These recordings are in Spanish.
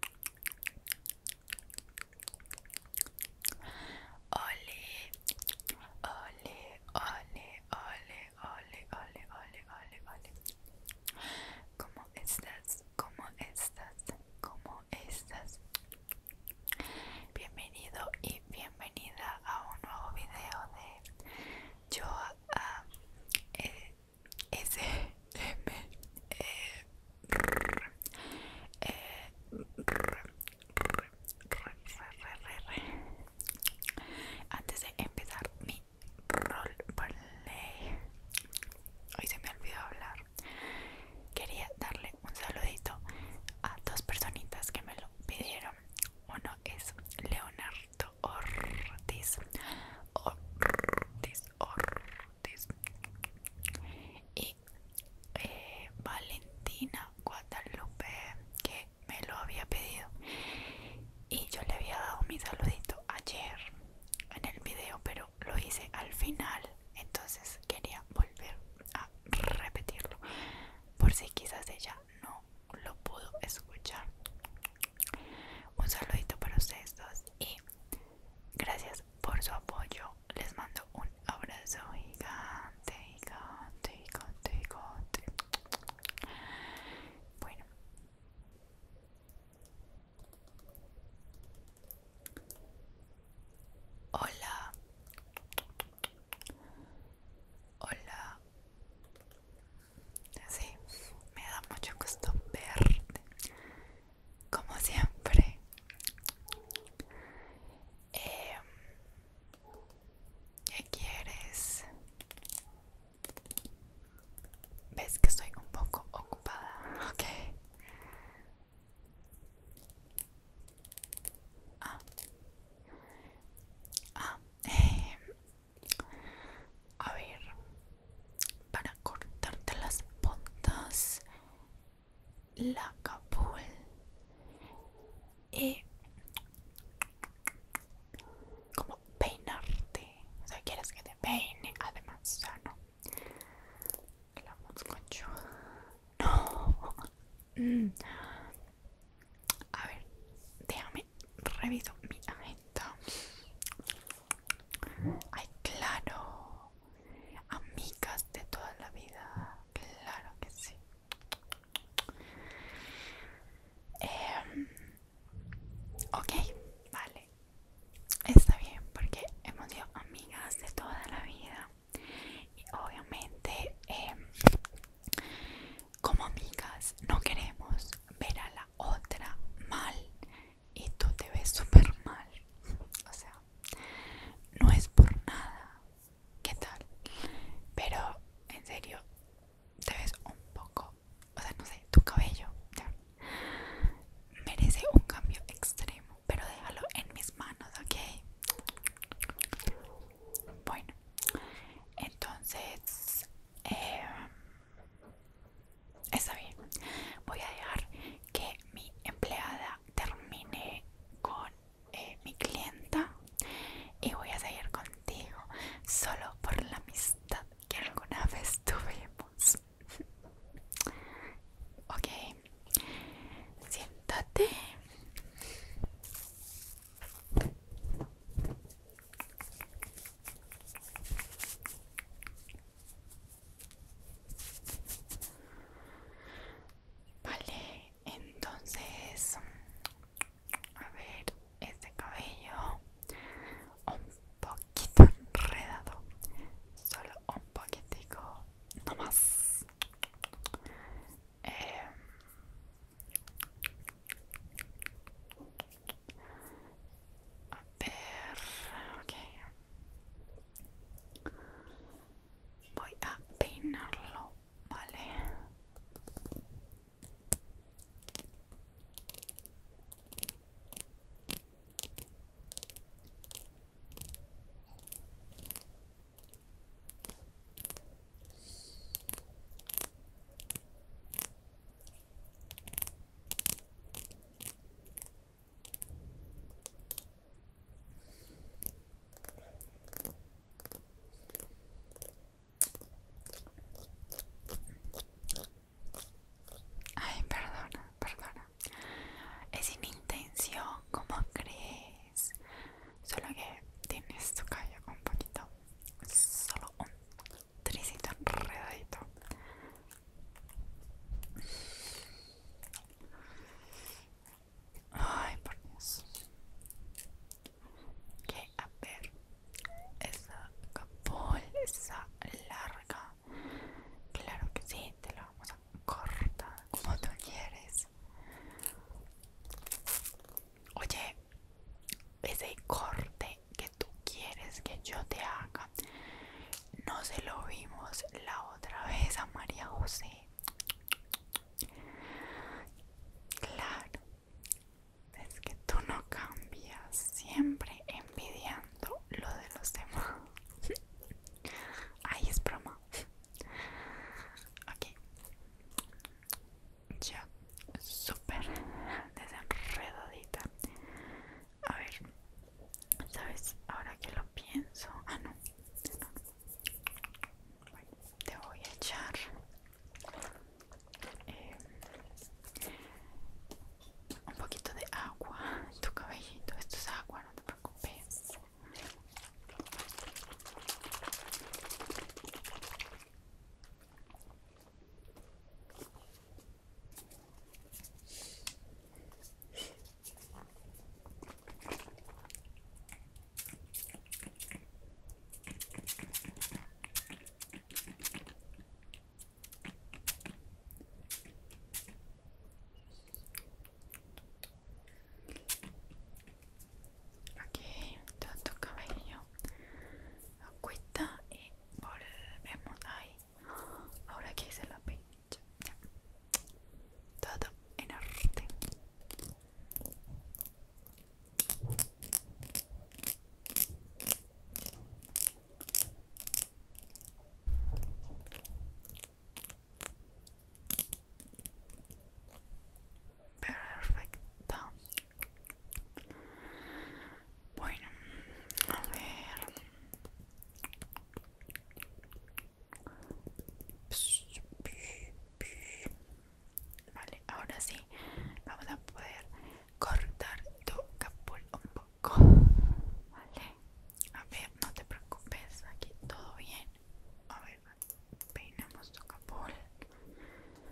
hola, hola, hola, hola, hola, hola, hola, hola, hola, ¿Cómo estás? ¿Cómo estás? ¿Cómo estás? Bienvenido y bienvenida a un nuevo video de Yo ah, eh, S M e, e, Antes de empezar mi roleplay, hoy se me olvidó hablar. Quería darle un saludito a dos personitas que me lo pidieron. Uno es Leonardo Ortiz. Ortiz, Ortiz y eh, Valentina Guadalupe que me lo había pedido y yo le había dado mi saludito ayer en el video pero lo hice al final entonces quería volver a repetirlo por si quizás ella no lo pudo escuchar un saludito para ustedes dos y gracias por su apoyo. Les mando un abrazo gigante, gigante, gigante, gigante. Bueno. Hola. Hola. Sí, me da mucho gusto verte como siempre eh, ¿Qué quieres? ¿Ves que estoy un poco ocupada? Okay. Ah. Ah, eh, a ver, para cortarte las botas, la capul y eh, como peinarte. O sea, quieres que te peine, además, o no. La mosconcho. No. Mm. A ver, déjame reviso mi agenda. Ay, claro. Amigas de toda la vida. Claro que sí. Em, ok, vale. Está bien, porque hemos sido amigas de toda la vida. Y obviamente, em, como amigas, no queremos ver a la otra mal y tú te ves súper mal. O sea, no es por nada. ¿Qué tal? Pero en serio, te ves un poco, o sea, no sé, tu cabello merece un cambio extremo, pero déjalo en mis manos, ¿ok? Bueno, entonces, em, Está bien. Voy a dejar que mi empleada termine con eh, mi clienta y voy a seguir contigo solo por la amistad que alguna vez tuvimos. ok. Siéntate. Vale, entonces, a ver, este cabello un poquito enredado, solo un poquitico, no más. Eh, a ver, Voy a peinarlo, vale. Ay, perdona, perdona. Es sin intención, ¿cómo crees? Solo que tienes tu caja un poquito, solo un tricita enredadito ay por Dios qué a ver esa capul esa larga claro que sí te la vamos a cortar como tú quieres oye ese corte que tú quieres que yo te haga. No se lo vimos la otra vez a María José. Claro, es que tú no cambias, siempre envidiando lo de los demás. Ahí es broma. Ok ya súper desenredadita. A ver, ¿sabes? Ahora que lo pienso... Ah, no. te voy a echar... Eh, un poquito de agua en tu cabellito. Esto es agua, no te preocupes. Aquí, tanto cabello Acuesta y volvemos ahí. Ahora que hice la pincha. Todo en arte. Perfecto. Bueno, a ver. Vale, ahora sí vamos a poder cortar tu capul un poco. Vale, a ver, no te preocupes, aquí todo bien. A ver, peinamos tu capul.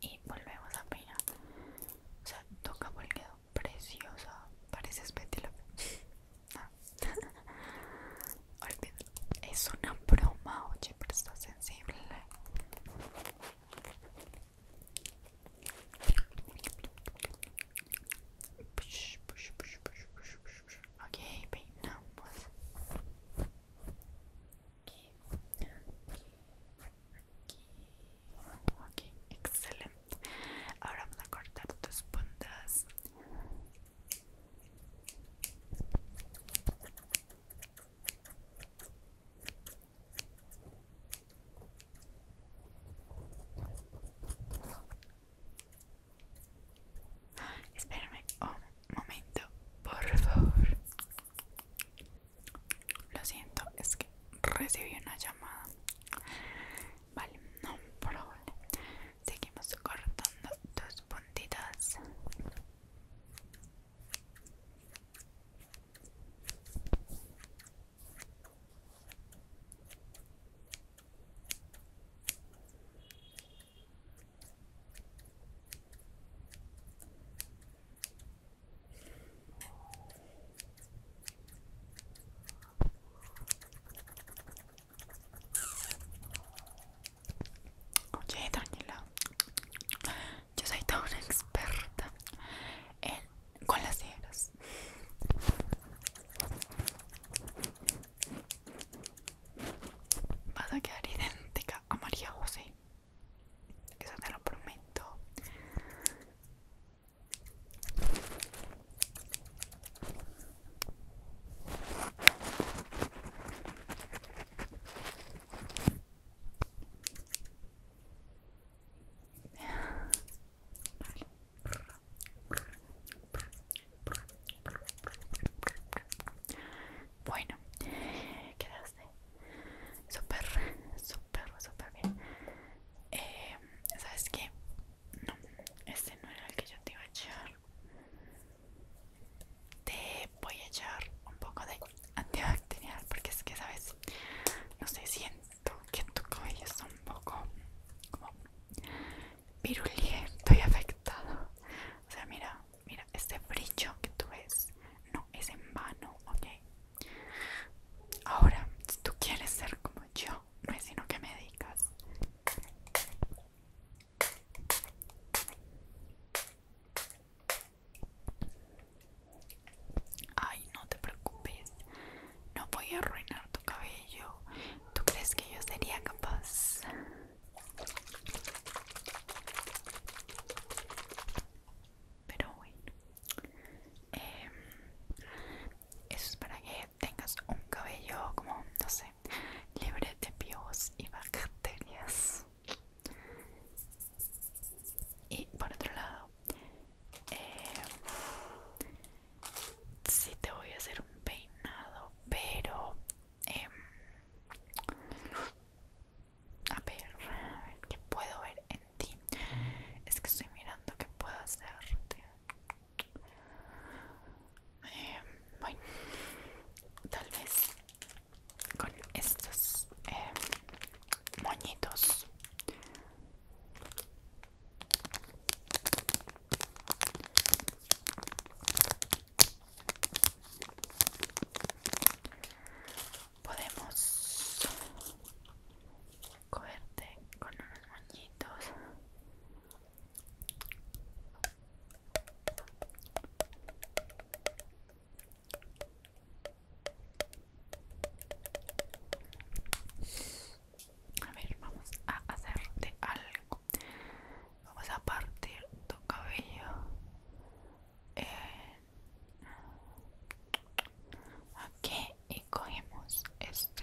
y volvemos a peinar. O sea, toca porque quedó preciosa. Parece Betty ah. Es una broma, oye, pero está sensible. Ok, peinamos aquí, aquí, aquí. Excelente. Ahora vamos a cortar tus puntas. Espérame un momento, por favor. Lo siento, es que recibí una llamada. Vale, no, por Seguimos cortando tus puntitas. Oye, Daniela, Yo soy toda una experta en, con las higueras. Vas a quedar idéntica a María José. Eso te lo prometo. Bueno, quedaste súper, súper, súper bien. Eh, ¿Sabes qué? No, este no era el que yo te iba a echar. Te voy a echar un poco de antibacterial porque es que, ¿sabes? No sé, siento que tu cabello está un poco como virulento y afectado. O sea, mira, Mira, este brillo que tú ves no es en vano, ¿ok? Ahora, si tú quieres ser como yo, no es sino que me digas. Ay, no te preocupes. No voy a arruinar tu cabello. ¿Tú crees que yo sería capaz? Pero bueno, em, eso es para que tengas un cabello como, no sé, libre de pibos y bacterias. Y por otro lado, eh, sí te voy a hacer un peinado, pero Em, a ver, ¿qué puedo ver en ti? Es que estoy mirando qué puedo hacerte. Em, bueno, tal vez con estos eh, moñitos. Podemos cogerte con unos moñitos. A ver, vamos a hacerte algo vamos a partir tu cabello aquí y cogemos este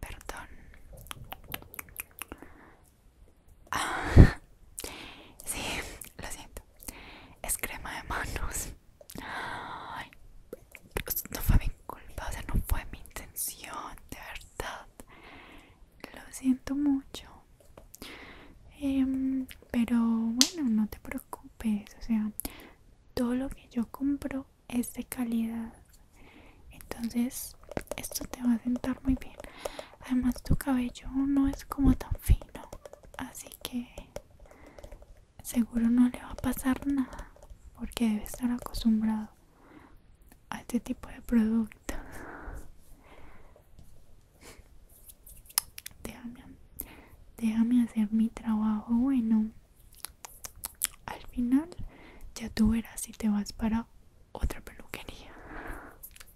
Perdón. sí, lo siento es crema de manos. no fue mi culpa, o sea, no fue mi intención, de verdad. Lo siento mucho. Em, pero bueno, no te preocupes, o sea, todo lo que yo compro es de calidad. Entonces, esto te va a sentar muy bien además tu cabello no es como tan fino así que seguro no le va a pasar nada porque debe estar acostumbrado a este tipo de producto déjame déjame hacer mi trabajo bueno al final ya tú verás si te vas para otra peluquería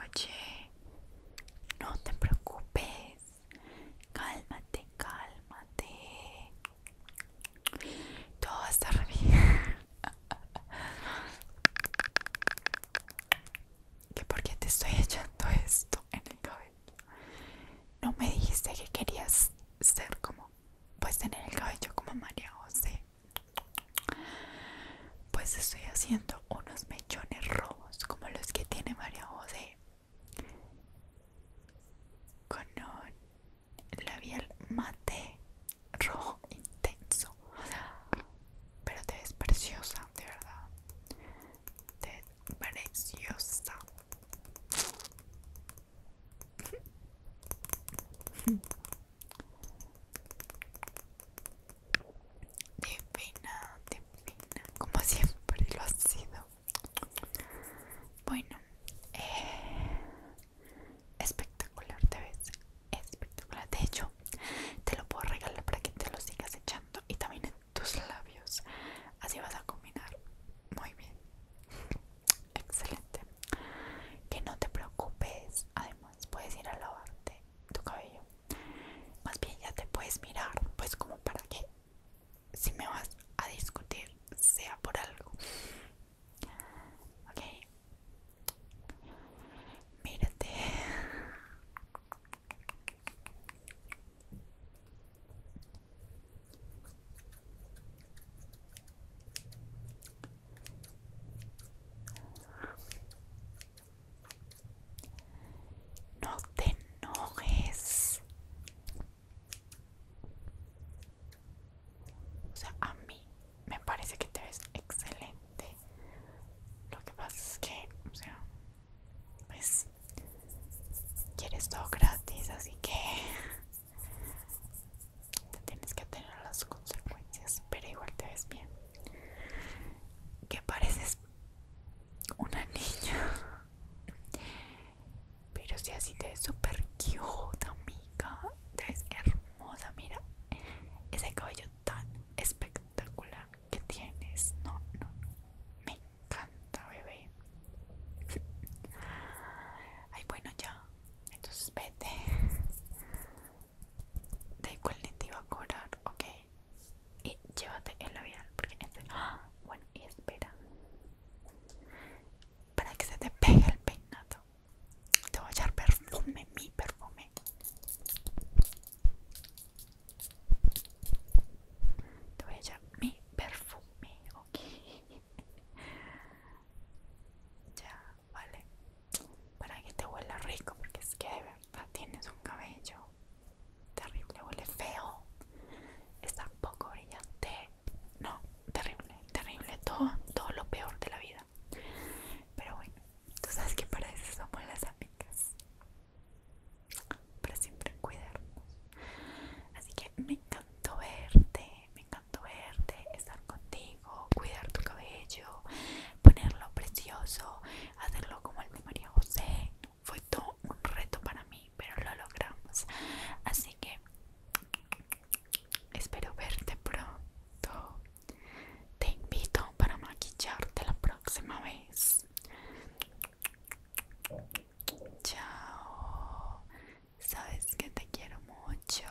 Oye, no te preocupes. Cálmate, cálmate. Todo va a estar bien. ¿Por qué te estoy echando esto en el cabello? No me dijiste que querías ser como, pues tener el cabello como María José. Pues estoy haciendo unos mechones rojos como los que tiene María José con un labial mate rojo intenso pero te ves preciosa de verdad te ves preciosa divina divina como siempre lo has sido bueno, eh, espectacular te ves, espectacular. De hecho, te lo puedo regalar para que te lo sigas echando y también en tus labios. Así vas a combinar muy bien. Excelente. Que no te preocupes. Además, puedes ir a lavarte tu cabello. Más bien ya te puedes mirar, pues como para que si me vas a discutir sea por algo ok mírate no te enojes. O sea, a mí me parece que te ves excelente. Lo que pasa es que, o sea, pues quieres todo gratis, así que te tienes que tener las consecuencias, pero igual te ves bien. Que pareces una niña. Pero si así te ves súper cute, amiga. Te ves hermosa, mira. Ese cabello tan espectacular que tienes. No, no, no. Me encanta, bebé. Ay, bueno, ya. Entonces vete. De igual te iba a cobrar, ok y llévate el labial porque este, ¡ah! bueno y espera para que se te pegue el peinato te voy a echar perfume mi perfume te voy a echar mi perfume ok ya vale para que te huela rico porque es que de verdad tienes un cabello terrible, huele feo, está poco brillante, no, terrible, terrible, todo, todo lo peor de la vida. Pero bueno, tú sabes que para eso somos las amigas, para siempre cuidarnos. Así que me encantó verte, me encantó verte, estar contigo, cuidar tu cabello, ponerlo precioso, hacerlo como el de María José fue todo un reto para mí, pero lo logramos. Así que espero verte pronto. Te invito para maquillarte la próxima vez. Chao. Sabes que te quiero mucho.